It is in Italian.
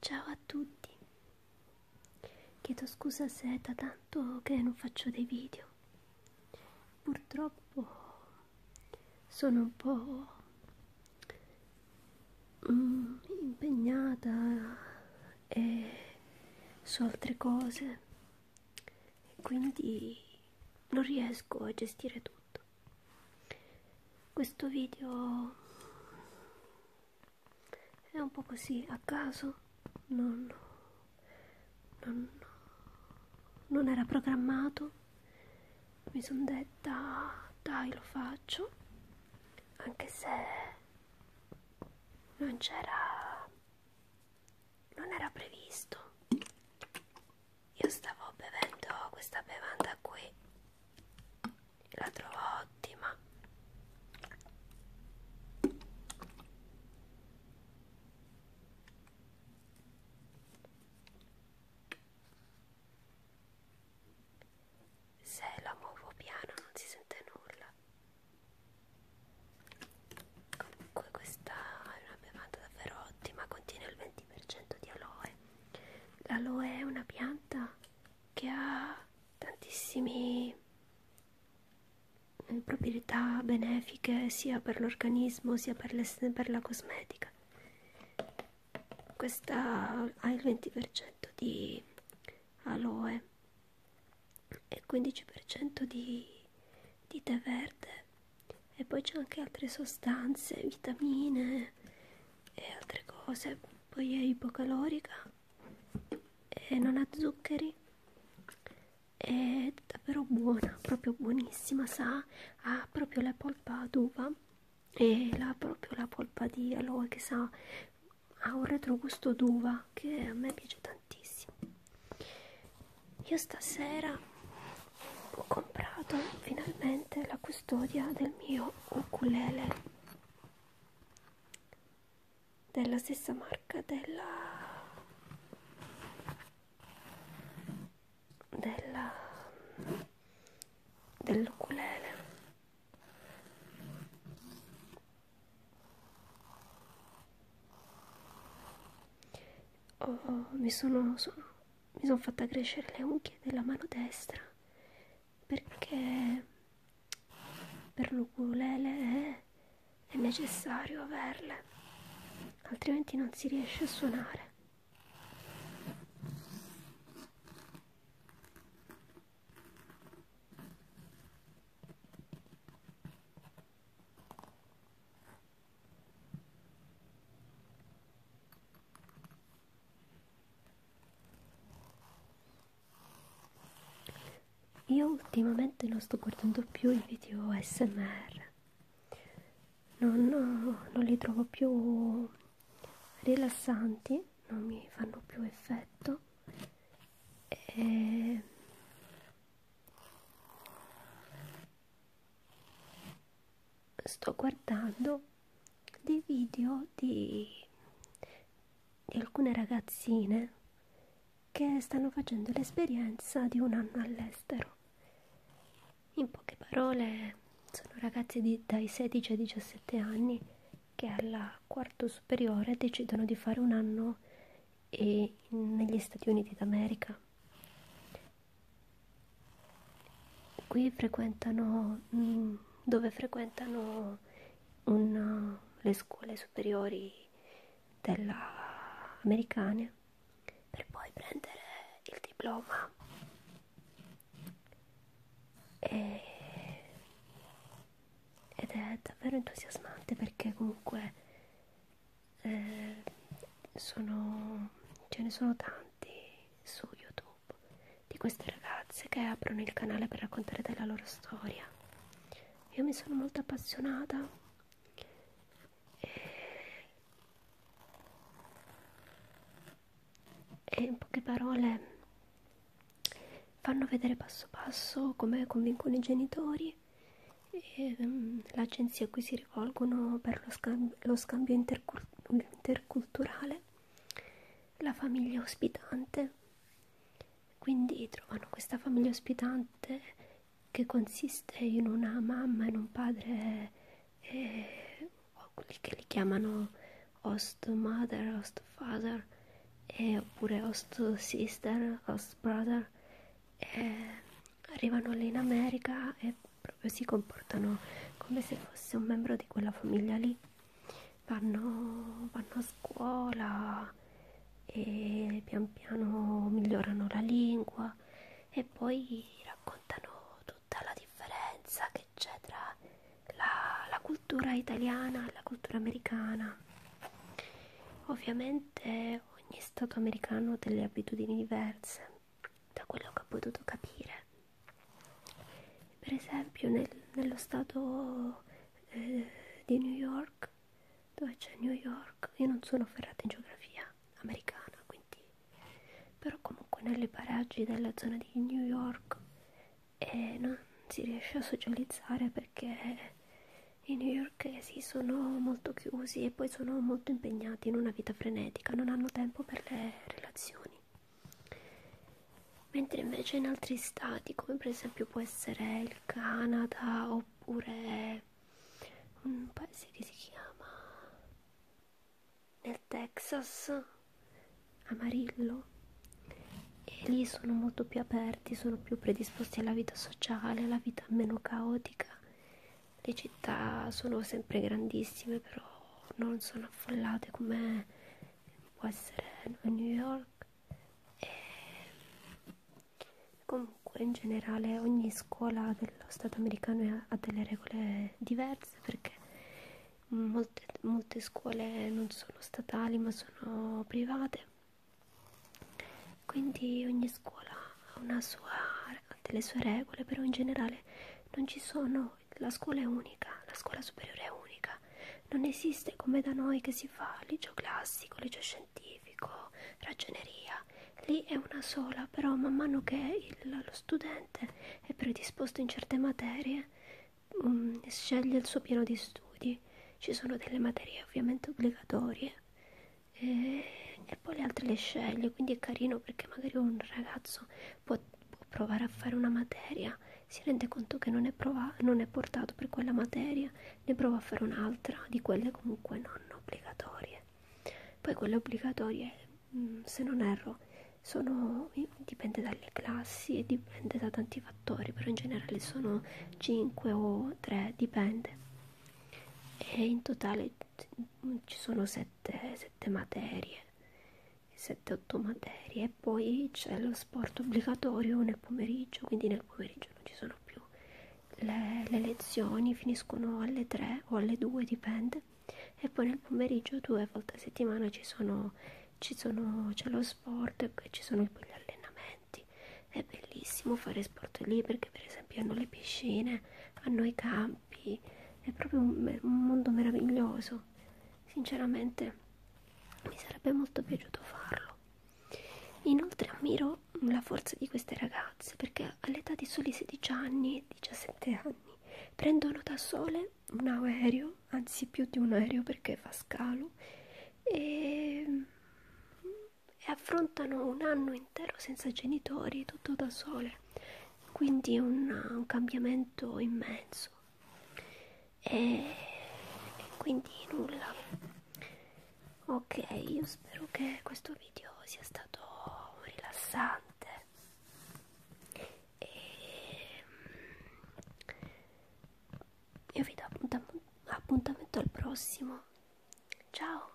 Ciao a tutti. Chiedo scusa se è da tanto che non faccio dei video. Purtroppo sono un po' mm, impegnata e su altre cose e quindi non riesco a gestire tutto. Questo video è un po' così a caso, non, non, non era programmato, mi sono detta dai lo faccio, anche se non c'era non era previsto io stavo bevendo questa bevanda qui la trovo ottima se la muovo piano non si sente nulla comunque questa è una bevanda davvero ottima contiene il 20% di aloe l'aloe è una pianta che ha tantissime mm, proprietà benefiche sia per l'organismo sia per, le, per la cosmetica questa ha il 20% di aloe e 15% di, di tè verde e poi c'è anche altre sostanze, vitamine e altre cose, poi è ipocalorica e non ha zuccheri è davvero buona, proprio buonissima, sa, ha proprio la polpa d'uva e la, proprio la polpa di aloe che sa ha un retrogusto d'uva che a me piace tantissimo io stasera ho comprato finalmente la custodia del mio ukulele della stessa marca della della dell'ukulele Oh, mi sono, sono, mi sono fatta crescere le unghie della mano destra perché per l'ukulele è, è necessario averle, altrimenti non si riesce a suonare. Io ultimamente non sto guardando più i video SMR, non, non li trovo più rilassanti, non mi fanno più effetto e sto guardando dei video di, di alcune ragazzine che stanno facendo l'esperienza di un anno all'estero. In poche parole sono ragazzi di, dai 16 ai 17 anni che alla quarto superiore decidono di fare un anno e, negli Stati Uniti d'America. Qui frequentano mh, mm, dove frequentano un, le scuole superiori della, americane per poi prendere il diploma e... ed è davvero entusiasmante perché comunque eh, sono, ce ne sono tanti su YouTube di queste ragazze che aprono il canale per raccontare della loro storia. Io mi sono molto appassionata. E e in poche parole fanno vedere passo passo come convincono i genitori e um, l'agenzia a cui si rivolgono per lo, scamb lo scambio intercul interculturale, la famiglia ospitante. Quindi trovano questa famiglia ospitante che consiste in una mamma e in un padre eh, o quelli che li chiamano host mother, host father, eh, oppure host sister, host brother, eh, arrivano lì in America e proprio si comportano come se fosse un membro di quella famiglia lì. Vanno, vanno a scuola e pian piano migliorano la lingua e poi raccontano notano tutta la differenza che c'è tra la, la cultura italiana e la cultura americana. Ovviamente ogni stato americano ha delle abitudini diverse, da quello che ho potuto capire. Per esempio nel, nello stato eh, di New York, dove c'è New York, io non sono ferrata in geografia, americana quindi però comunque nelle paraggi della zona di New York eh, non si riesce a socializzare perché i newyorkesi eh, sono molto chiusi e poi sono molto impegnati in una vita frenetica, non hanno tempo per le relazioni. Mentre invece in altri stati, come per esempio può essere il Canada oppure c'è un paese che si chiama nel Texas Amarillo e lì sono molto più aperti, sono più predisposti alla vita sociale, alla vita meno caotica. Le città sono sempre grandissime, però non sono affollate come può essere a New York. E Comunque in generale ogni scuola dello Stato americano ha delle regole diverse perché molte, molte scuole non sono statali ma sono private. Quindi ogni scuola ha una sua, delle sue regole, però in generale non ci sono, la scuola è unica, la scuola superiore è unica. Non esiste come da noi che si fa liceo classico, liceo scientifico scientifico, ragioneria, lì è una sola, però man mano che il, lo studente è predisposto in certe materie um, sceglie il suo piano di studi, ci sono delle materie ovviamente obbligatorie e, e poi le altre le sceglie, quindi è carino perché magari un ragazzo può, può provare a fare una materia si rende conto che non è, prova- non è portato per quella materia ne provo a fare un'altra di quelle comunque non obbligatorie poi quelle obbligatorie mm, se non erro sono dipende dalle classi e dipende da tanti fattori però in generale sono 5 o 3 dipende e in totale mm, ci sono 7, 7 materie 7-8 materie poi c'è lo sport obbligatorio nel pomeriggio, quindi nel pomeriggio non ci sono più le, le lezioni, finiscono alle 3 o alle 2, dipende. E poi nel pomeriggio due volte a settimana ci sono, ci sono, c'è lo sport e ci sono poi gli allenamenti. È bellissimo fare sport lì perché per esempio hanno le piscine, hanno i campi, è proprio un, un mondo meraviglioso sinceramente mi sarebbe molto piaciuto farlo. Inoltre ammiro la forza di queste ragazze perché all'età di soli 16 anni, 17 anni, prendono da sole un aereo, anzi più di un aereo perché fa scalo, e, e affrontano un anno intero senza genitori, tutto da sole. Quindi è un, un cambiamento immenso e, e quindi nulla ok io spero che questo video sia stato rilassante e io vi do appuntam appuntamento al prossimo ciao